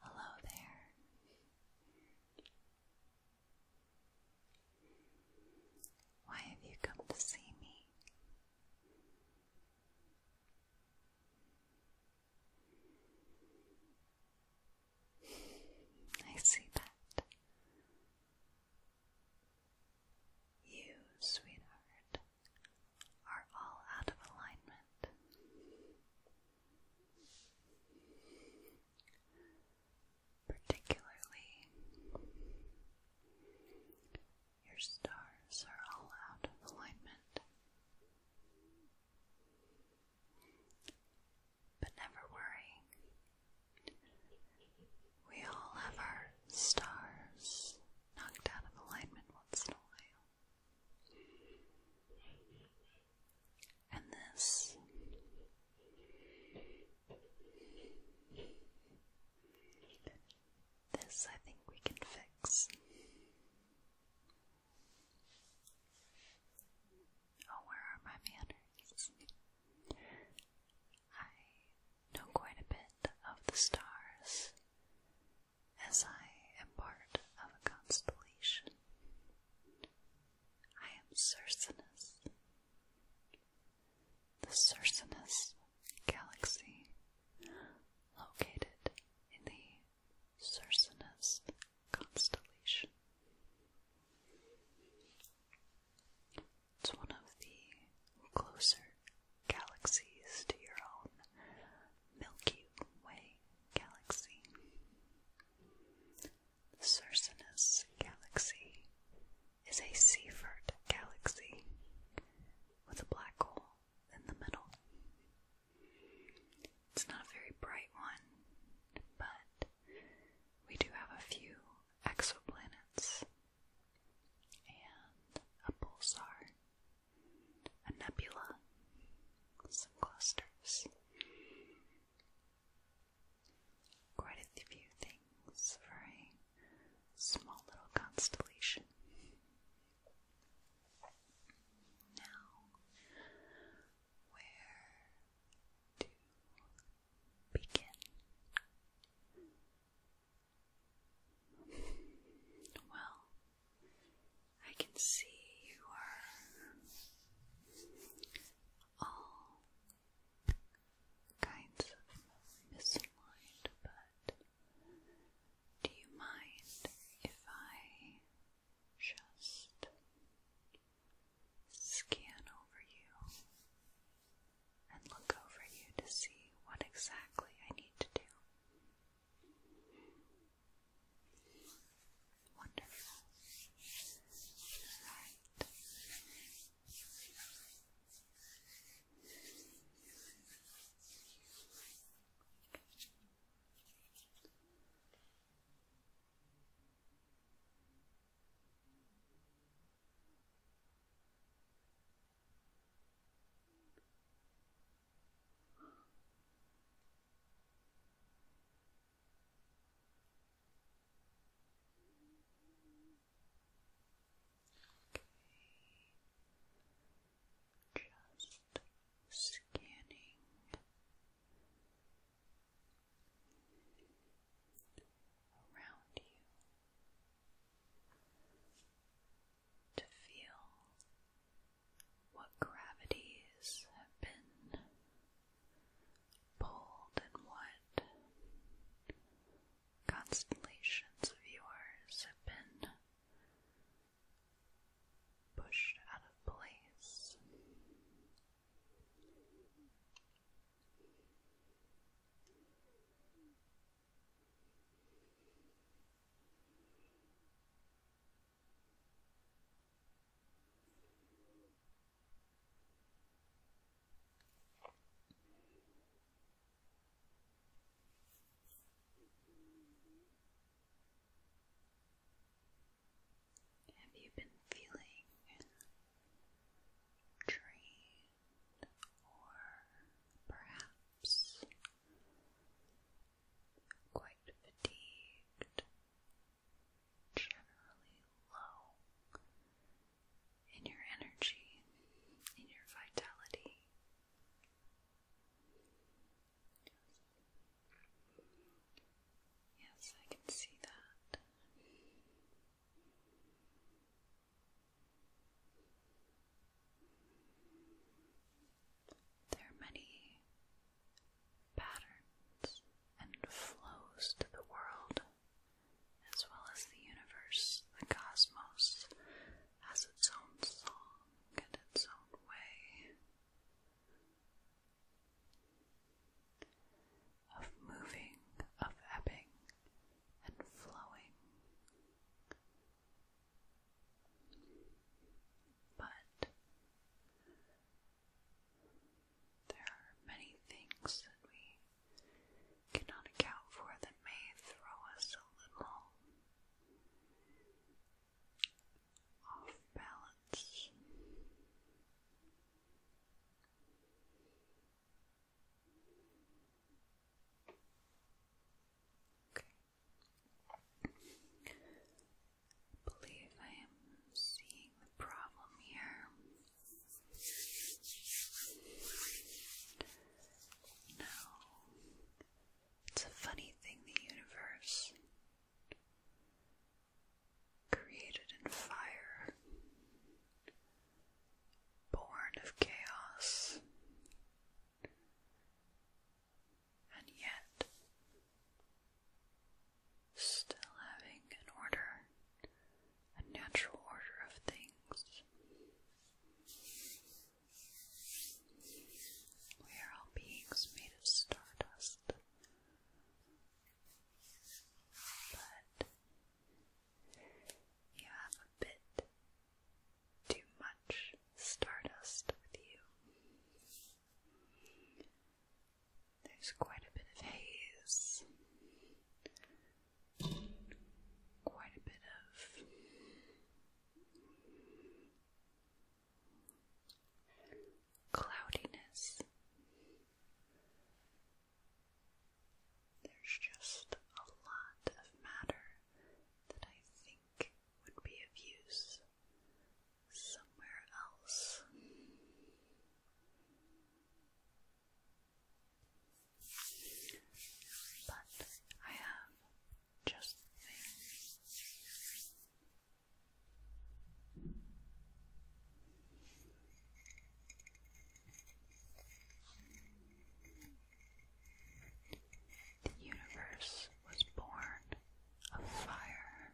Hello there. Why have you come to see me? I see that. You, sweetheart, are all out of alignment. Particularly, your stars are all out of alignment. But never worry, we all have our stars knocked out of alignment once in a while. And this this I think we can fix. Oh, where are my manners? I know quite a bit of the stars as I am part of a constellation. I am Circinus. The Circinus galaxy, located in the Circinus constellation. It's one of the closer galaxies to your own Milky Way galaxy. Circinus galaxy is a Seaford galaxy with a black hole in the middle. It's not a very bright one, but we do have a few exoplanets and a pulsar, a nebula, some clusters. Quite a few things for a small little constellation. Now, where to begin? Well, I can see you are all kinds of misaligned, but do you mind if I just scan over you and look over you to see what exactly I need to do. Wonderful. Alright. Okay. Just scanning. Around you, to feel what gravities have been pulled and what constellations of yours have been pushed out of place. Have you been feeling dreams? or perhaps quite fatigued, generally low in your energy, in your vitality. Yes, I can see that. There are many patterns and flows to the world, as well as the universe, the cosmos has its own song and its own way of moving, of ebbing, and flowing. But there are many things that we cannot account for that may throw us a little off balance believe I am seeing the problem here. No. It's a funny thing, the universe. Created in fire, born of chaos, and yet still having an order, a natural order of things. We are all beings made of stardust. But you have a bit too much stardust with you. There's quite a bit of haze, quite a bit of cloudiness. There's just a lot of matter that I think would be of use somewhere else. But I have just the universe was born of fire.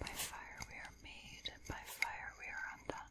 By fire we are made, and by fire we are undone.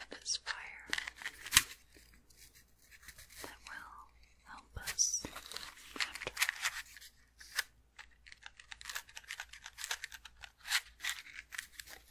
And if fire, that will help us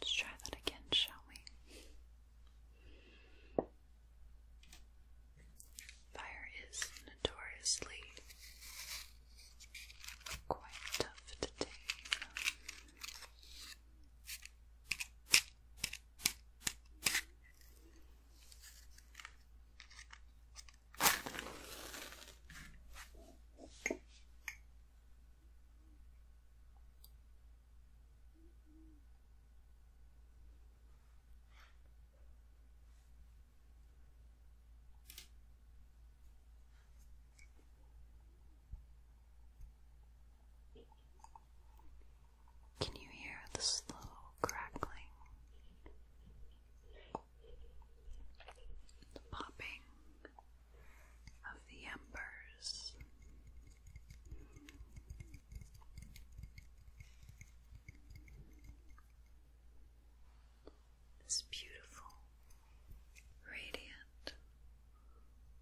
Let's try that again, shall we? Fire is notoriously quite tough to tame. Can you hear the slow crackling? The popping of the embers this beautiful, radiant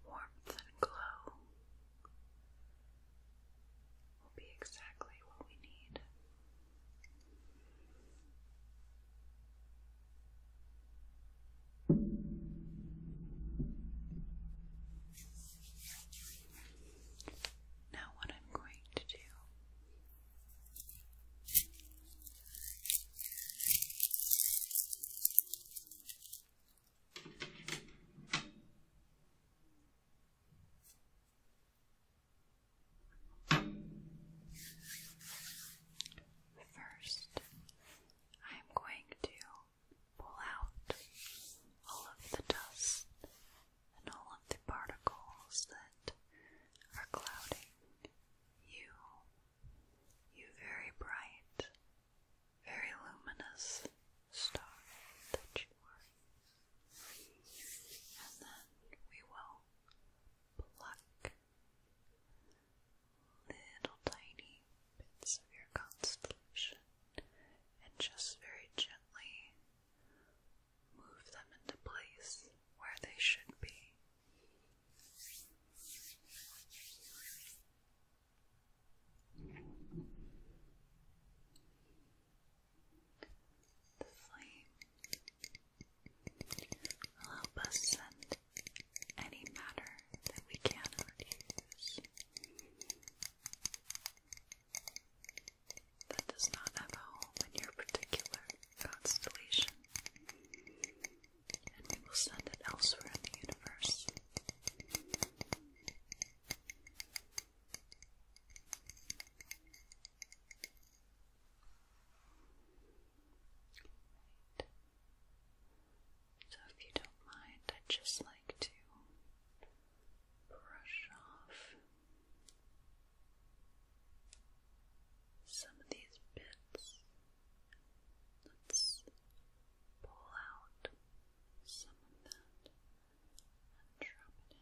warmth and glow will be exactly what we need. Now, what I'm going to do First, I am going to pull out all of the dust and all of the particles that are clouding you. You very bright, very luminous star that you are. And then we will pluck little tiny bits of your constellation and just very gently move them into place where they should be. The flame will help us any matter that we cannot use that does not have a home in your particular constellation, and we will send it elsewhere in the universe. So, if you don't mind, I'd just like to brush off some of these bits. Let's pull out some of that and drop it in.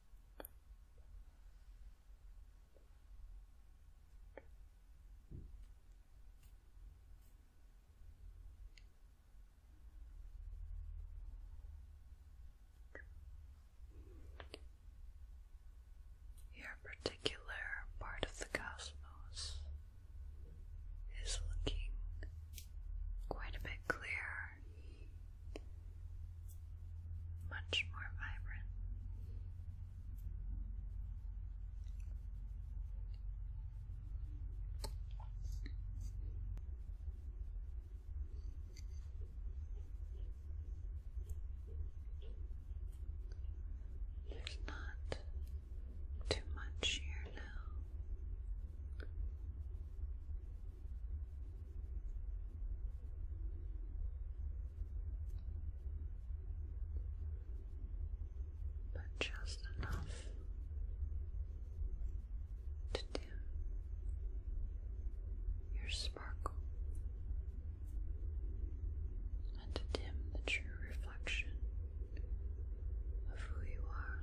Your particular part of the cosmos is looking quite a bit clearer much more vibrant. There's not too much here now but just enough to dim your sparkle and to dim the true reflection of who you are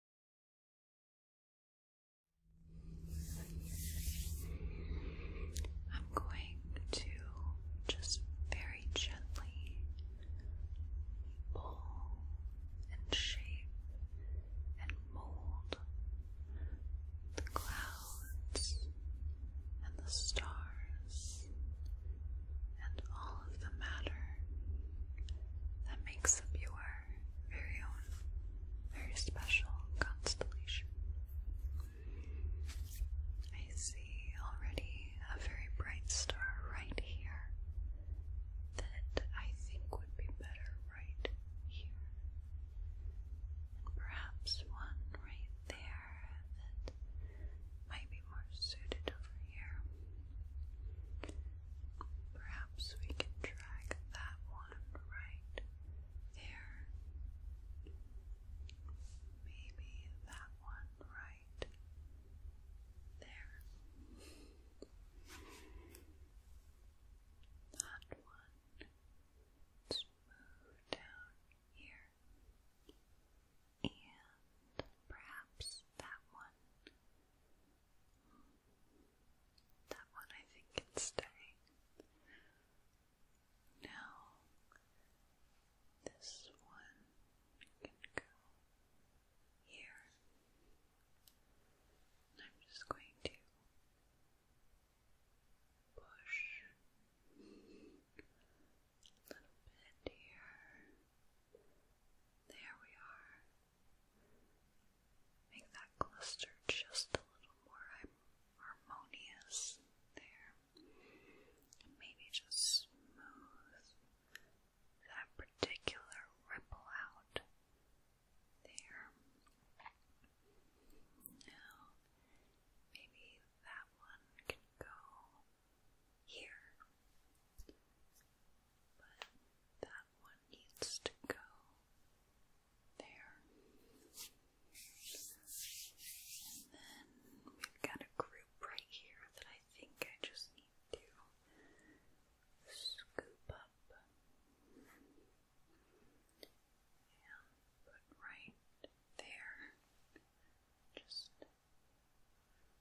I'm going to just very gently pull and shape and mold the clouds and the stars and all of the matter that makes up your very own, very special constellation. I see already a very bright star right here that I think would be better right here. perhaps one right there that might be more suited over here. Perhaps we can drag that one right there. Maybe that one right there. That one. let down here. And perhaps that one. That one I think can stay. Now, this one can go here. I'm just going to push a little bit here. There we are. Make that cluster just a little more harmonious there. And maybe just smooth that particular ripple out there. Now, maybe that one can go here. But that one needs to go there. And then we've got a group right here that I think I just need to scoop up and put right there. Just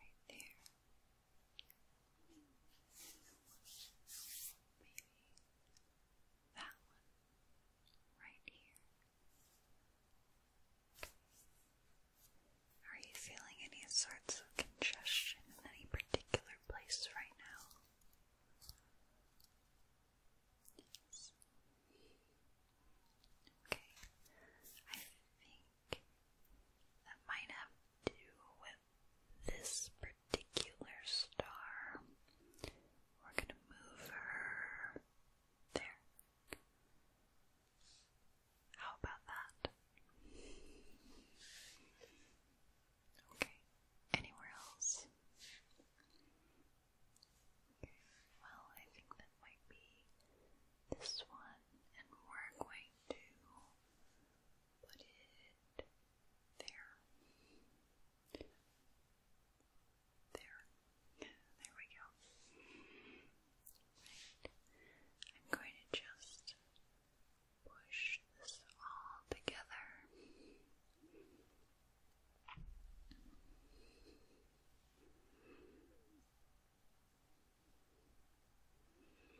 Right there. Maybe that one right here. Are you feeling any sorts of congestion in any particular place right now? Okay, I think that might have to do with this particular star. We're gonna move her there. How about that? Okay, anywhere else? Well, I think that might be this one, and we're going to put it there. There. There we go. Right. I'm going to just push this all together. There we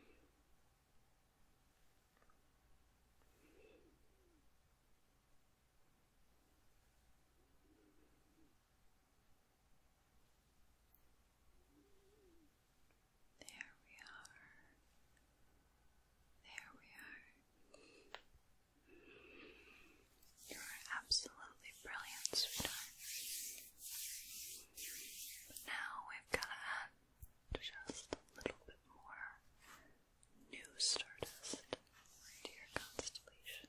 are. There we are. You are absolutely brilliant, sweetheart. now we've got to add just a little bit more new stardust to your constellation.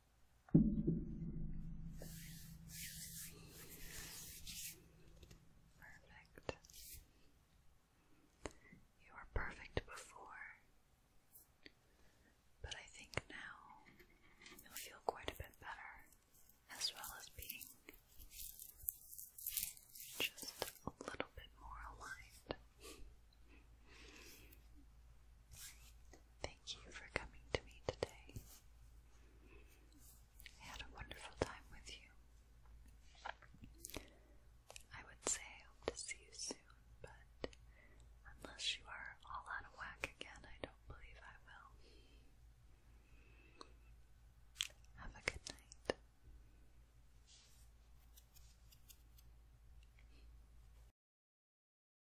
Perfect. You were perfect before, but I think now you'll feel quite a bit better, as well as being just a little bit more aligned thank you for coming to me today. I had a wonderful time with you. I would say hope to see you soon, but unless you are all out of whack again, I don't believe I will. Have a good night.